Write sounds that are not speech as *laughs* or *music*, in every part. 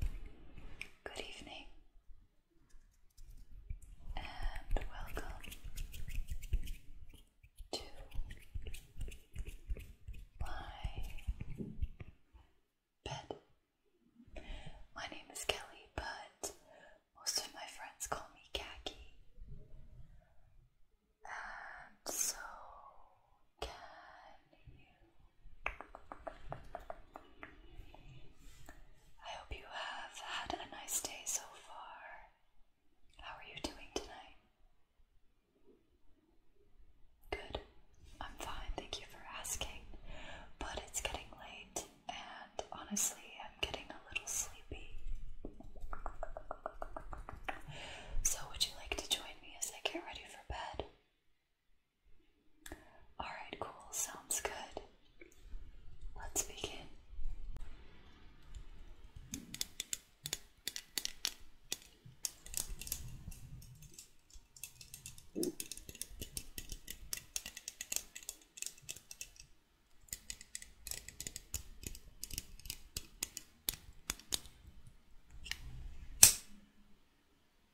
Good evening and welcome to my bed. My name is Kelly, but most of my friends call me Khaki. And so, can you I hope you have had a nice day so far. How are you doing tonight? Good. I'm fine, thank you for asking. But it's getting late, and honestly, I'm getting a little sleepy. So, would you like to join me as I get ready for bed? Alright, cool. Sounds good. Let's begin.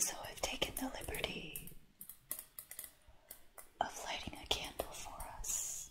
So I've taken the liberty of lighting a candle for us.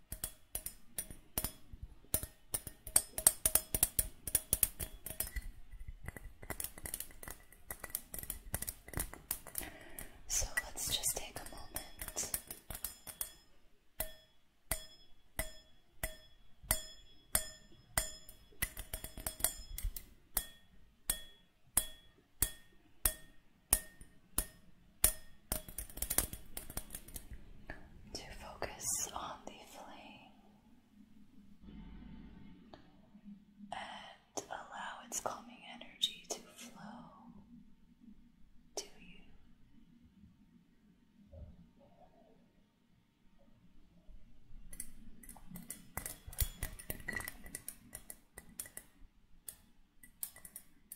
So let's just take a moment to focus on the flame and allow its calming energy to flow to you.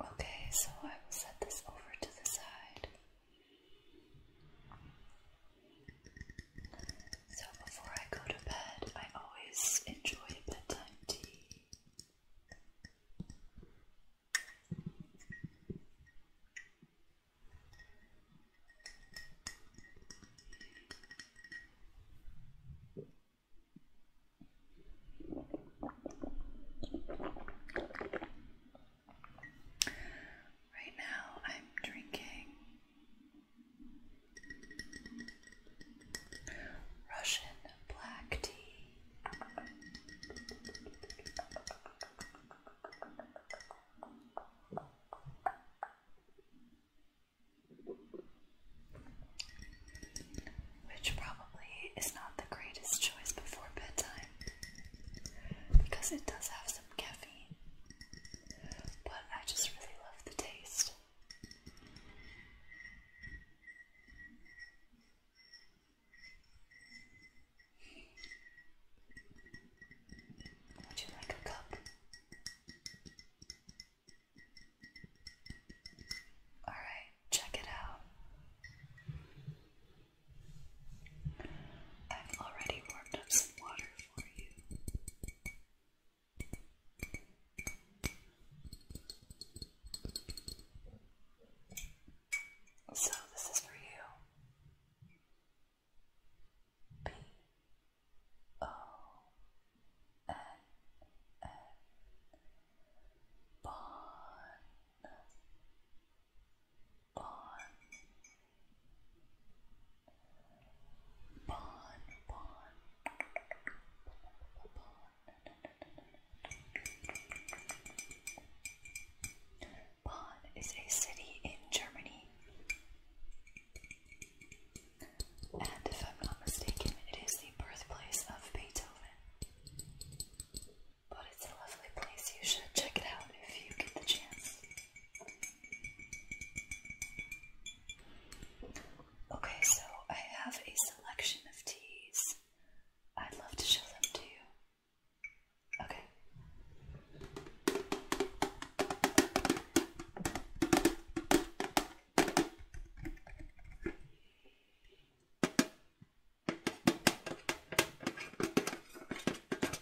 Okay, so I will set this over to the side. So before I go to bed, I always enjoy bedtime tea. Right now, I'm drinking Russian black tea. Which probably is not the greatest choice before bedtime because it does have some caffeine, but I just really love the taste. Would you like a cup? All right, check it out. I've already warmed up some water for you. So this is for you. P O N N Bon Bon Bon Bon Bonn is a city in Germany. And if I'm not mistaken, it is the birthplace of Beethoven. But it's a lovely place. You should check it out if you get the chance. Okay, so I have a selection of teas. I'd love to show them to you. Okay.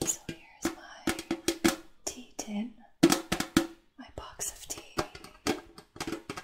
So here's my tea tin, my box of tea.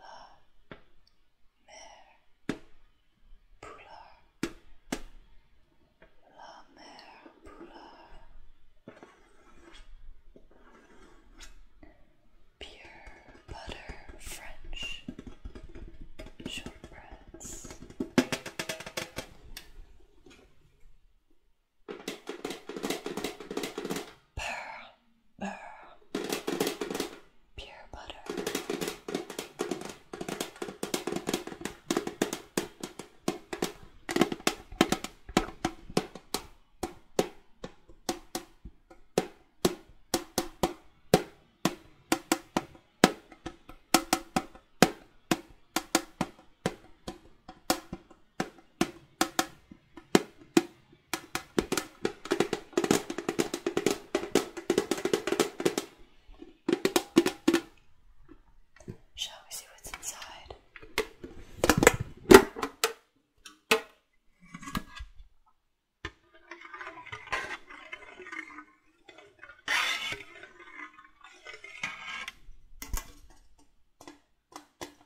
La mer poulard. La mer poulard. Pure butter French shortbread. Pearl pure butter. Shall we see what's inside?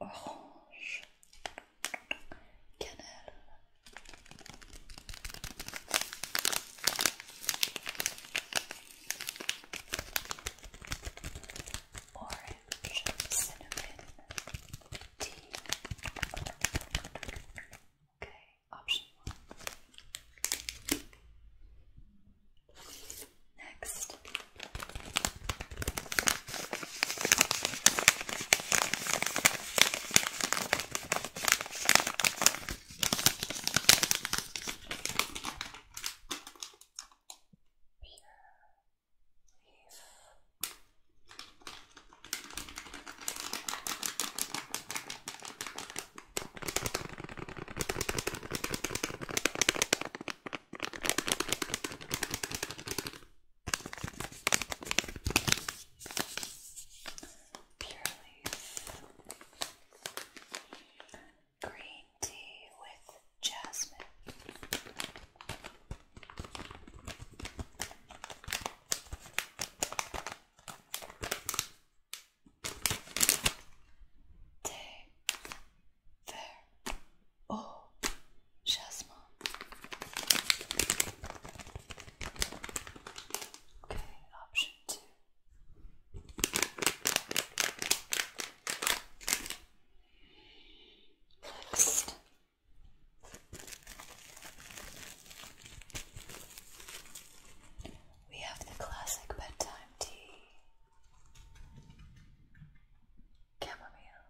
Oh, orange, cannelle. cinnamon, Okay, option one. Next. Leaf. Purely Green tea with jasmine. Day. There. Oh, Jasmine. Okay, option two. Next. We have the classic bedtime tea Chamomile.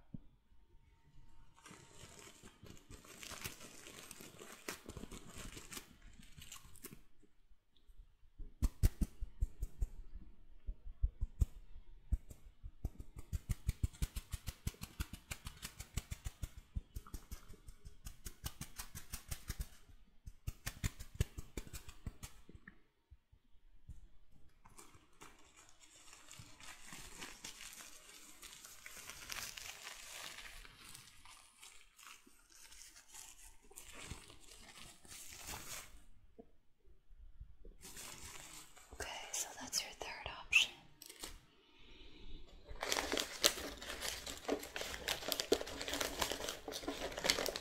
Okay, so that's your third option.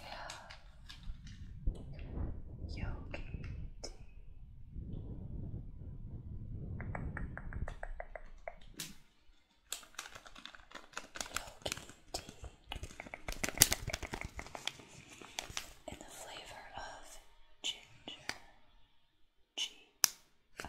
Yeah. Yogi In the flavor of ginger. G I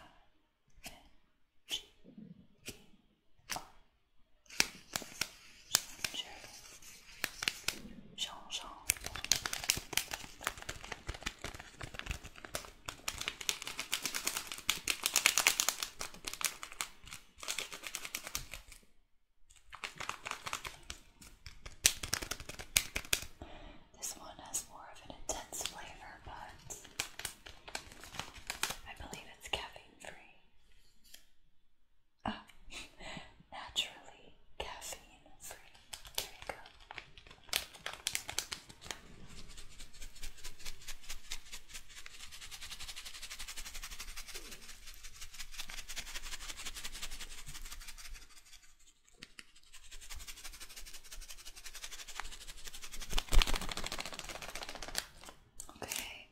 this one has more of an intense flavor, but I believe it's caffeine free. Ah, *laughs* naturally caffeine free. There you go. Okay.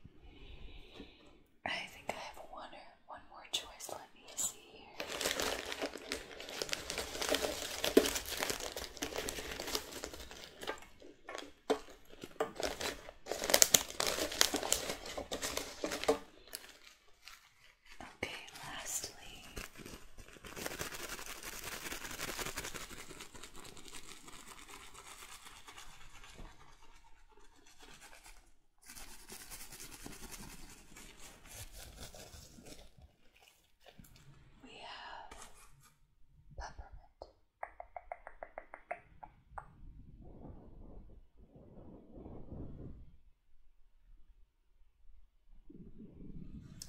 I think I have one one more choice. Let me see here. Okay, lastly, we have peppermint.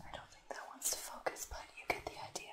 I don't think that wants to focus, but you get the idea.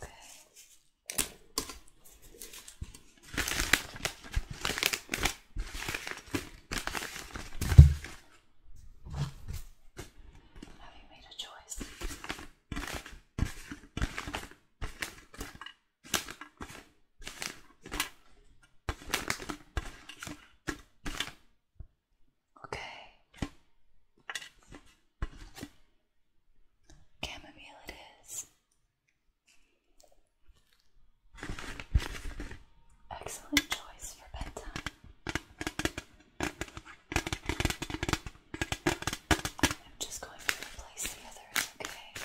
Okay. Have you made a choice? Okay. Chamomile it is. Excellent choice for bedtime. I'm just going to replace the others, okay?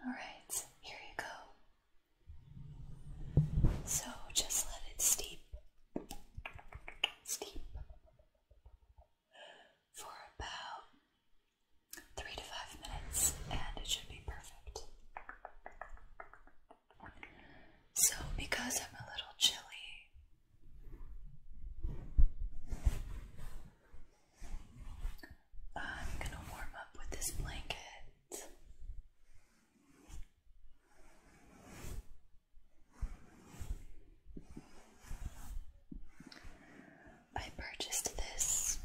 All right, here you go. So just let it steep steep for about three to five minutes, and it should be perfect. So, because I'm a little chilly, I'm going to warm up with this blanket. I purchased this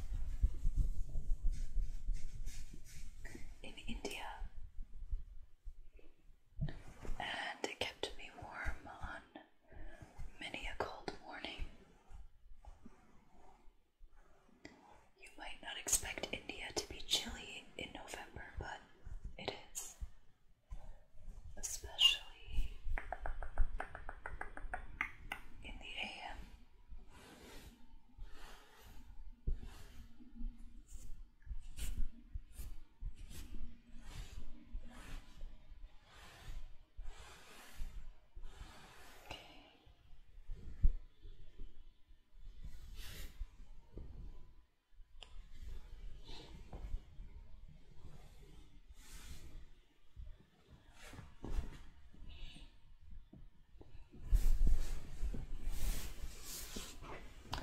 in India and it kept me warm on many a cold morning. You might not expect India to be chilly in November, but it is. Especially in the AM.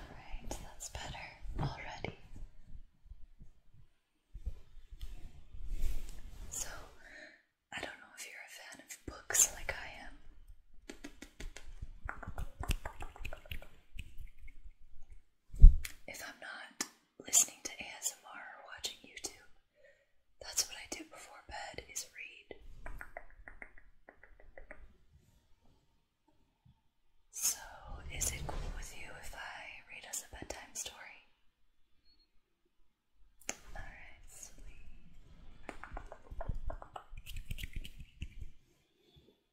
Alright, that's better already. So, I don't know if you're a fan of books like I am, if I'm not listening to ASMR or watching YouTube, that's what I do before bed is read. So, is it cool with you if I read us a bedtime story? Alright, sweet.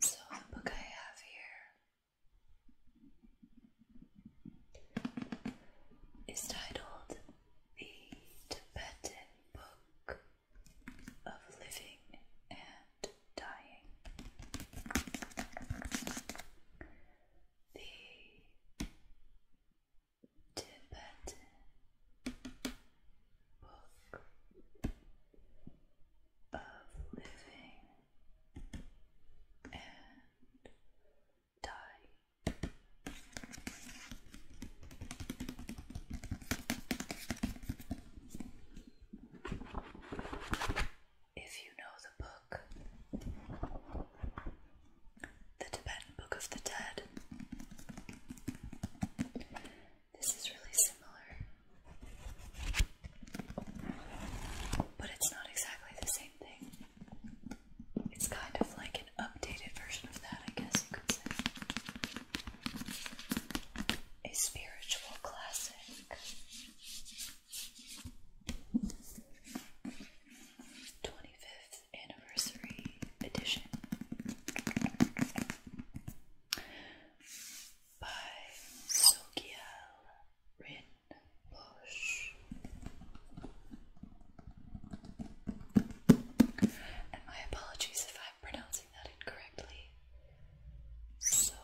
So the book I have here is titled The Tibetan Book of Living and Dying. The Tibetan book of living and dying. If you know the book, the Tibetan Book of the Dead, this is really similar, but it's not exactly the same thing. It's kind of like an updated version of that, I guess you could say. A spiritual classic. 25th Anniversary Edition by Sogyal Rinpoche. And my apologies if I'm pronouncing that incorrectly. Sogyal,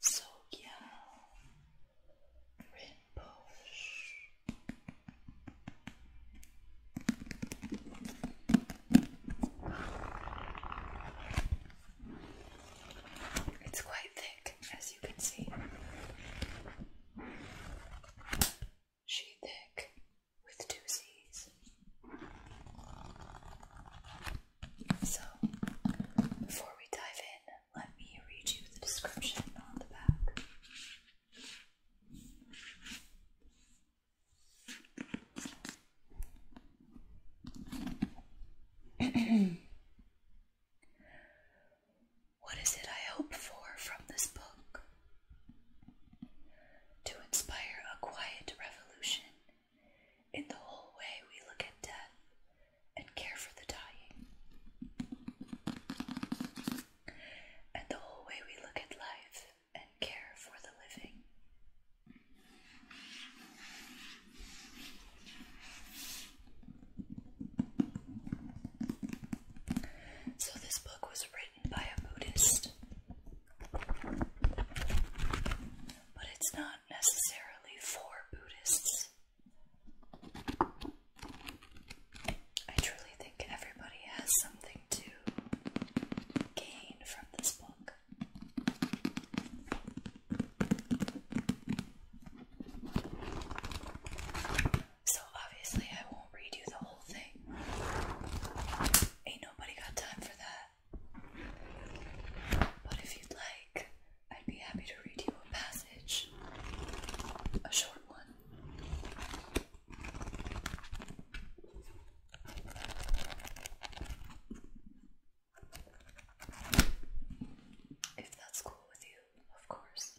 Sogyal Rinpoche. It's quite thick, as you can see. She thick with two C's. So, before we dive in, let me read you the description on the back. *clears throat* what is it I hope for from this book? To inspire a quiet revolution in the whole way we look at death and care for the dying, and the whole way we look at life and care for the living. So, this book was written by a Buddhist, but it's not necessarily for Buddhists. I truly think everybody has something to gain from this book. So, obviously, I won't read you the whole thing. Ain't nobody got time for that. But if you'd like, I'd be happy to read you a passage, a short one. If that's cool with you, of course.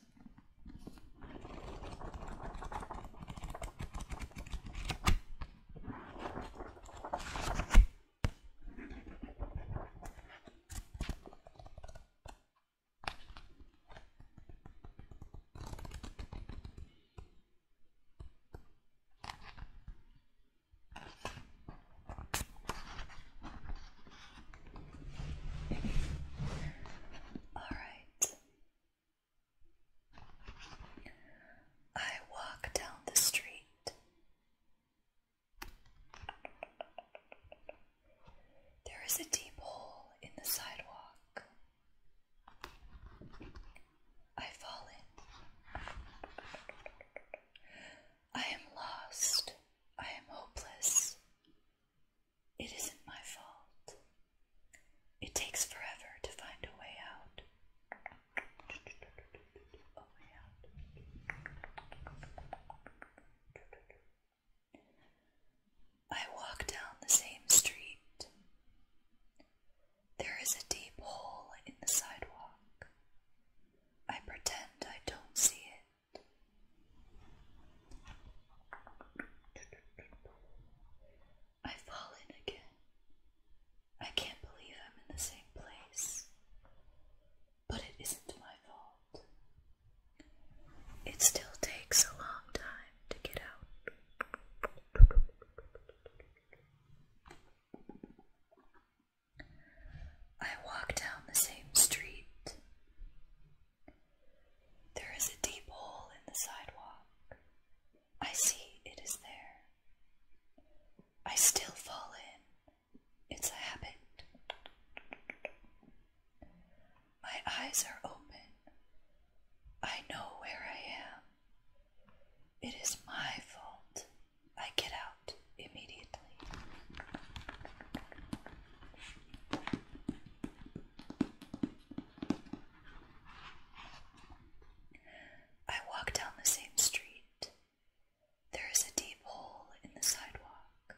All right. I walk down the street. There is a deep hole in the sidewalk. I've fallen. I am lost. I am hopeless. It isn't my fault. It takes forever to find A way out. I walk down the same street. There is a deep hole in the sidewalk. I pretend I don't see it. I fall in again. I can't believe I'm in the same place. But it isn't my fault. It still takes a long time to get out. I walk down the same street. There is a deep hole in the sidewalk. I see it is there. I still fall in. It's a habit. My eyes are open. I know where I am. It is my fault. I get out immediately. I walk down the same street. There is a deep hole in the sidewalk.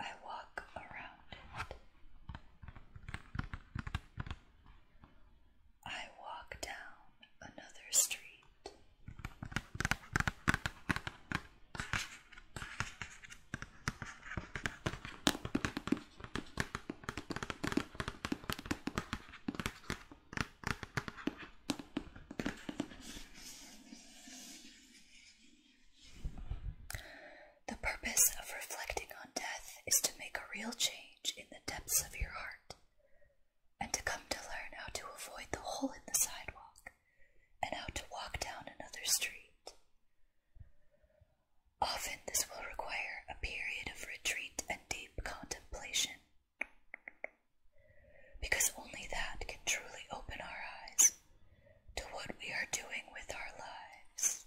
I walk around it. I walk down another street. The purpose of reflecting on death is to make a real change in the depths of your heart, and to come to learn how to avoid the hole in the sidewalk and how to walk down another street. Often, this will require a period of retreat and deep contemplation, because only that can truly open our eyes to what we are doing with our lives.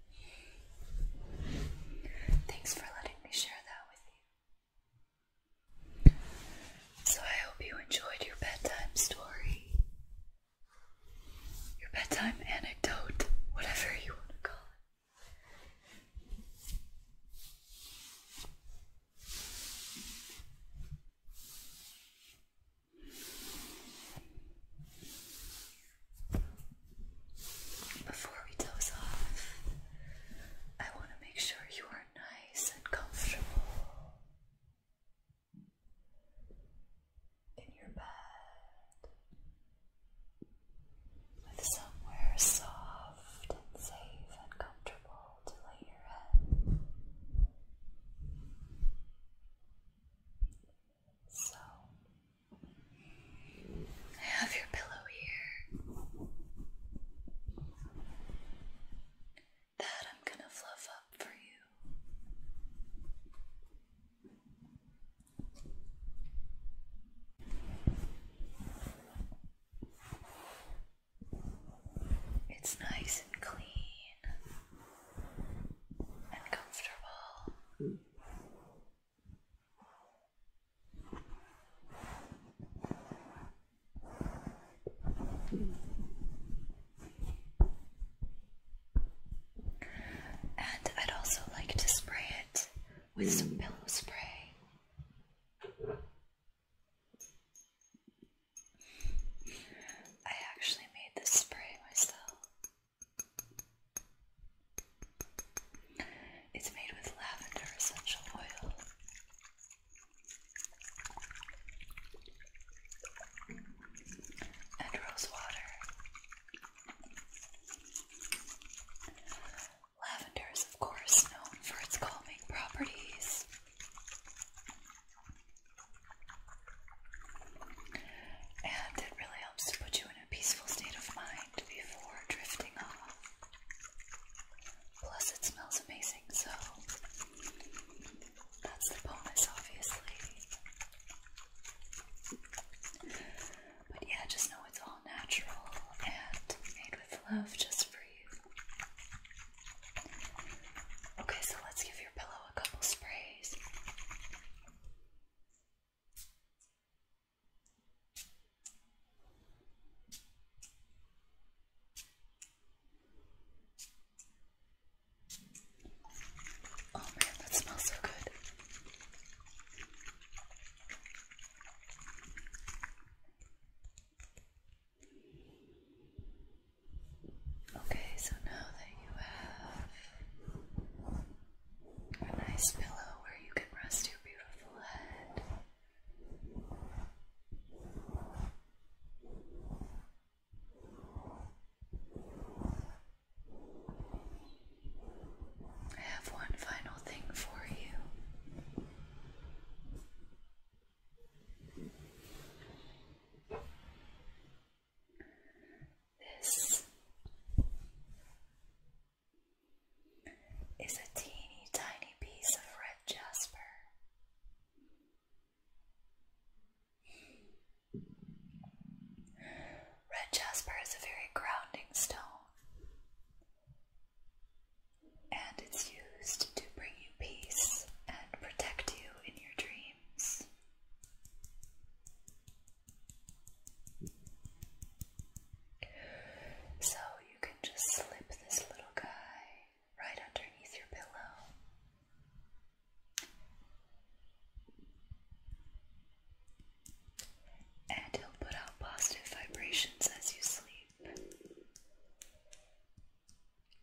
Thanks for letting me share that with you. So, I hope you enjoyed your bedtime story, your bedtime anecdote, whatever you want to call it. Before we doze off, I want to make sure you are nice and comfortable in your bed with somewhere soft and safe and comfortable to lay your head. So, I have your pillow here that I'm going to fluff up for you. It's nice and clean and comfortable. Hmm. And I'd also like to spray it with some mm. pillow spray. I actually made this spray myself. It's made with lavender essential oil. And rose water. Lavender is, of course, known for its calming properties. And it really helps to put you in a peaceful state of mind before drifting off. Plus, it smells amazing, so that's the bonus, obviously. But yeah, just know it's all natural and made with love just for you. Okay, so let's give your pillow a couple sprays. Oh man, that smells so good. Okay, so now that you have a nice pillow where you can rest your beautiful head. I have one final thing for you. This is a teeny tiny piece of red jasper. Red jasper is a very grounding stone, and it's used to bring you peace and protect you in your dreams. So you can just slip this little guy right underneath your pillow. And he'll put out positive vibrations as you sleep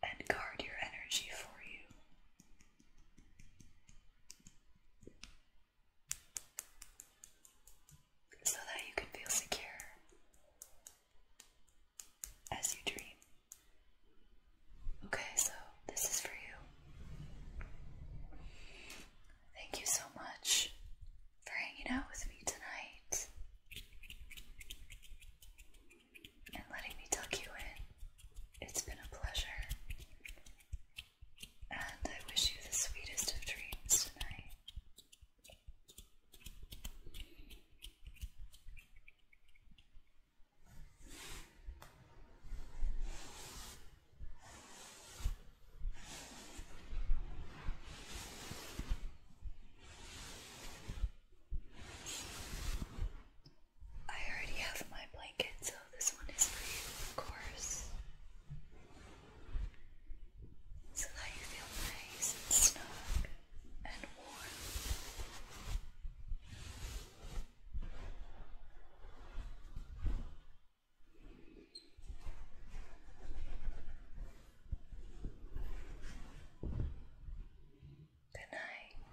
and guard your energy for you so that you can feel secure as you dream. Okay, so this is for you. Thank you so much for hanging out with me tonight and letting me tuck you in. It's been a pleasure and I wish you the sweetest of dreams tonight. I already have my blanket, so this one is for you, of course so that you feel nice and snug and warm. Good night.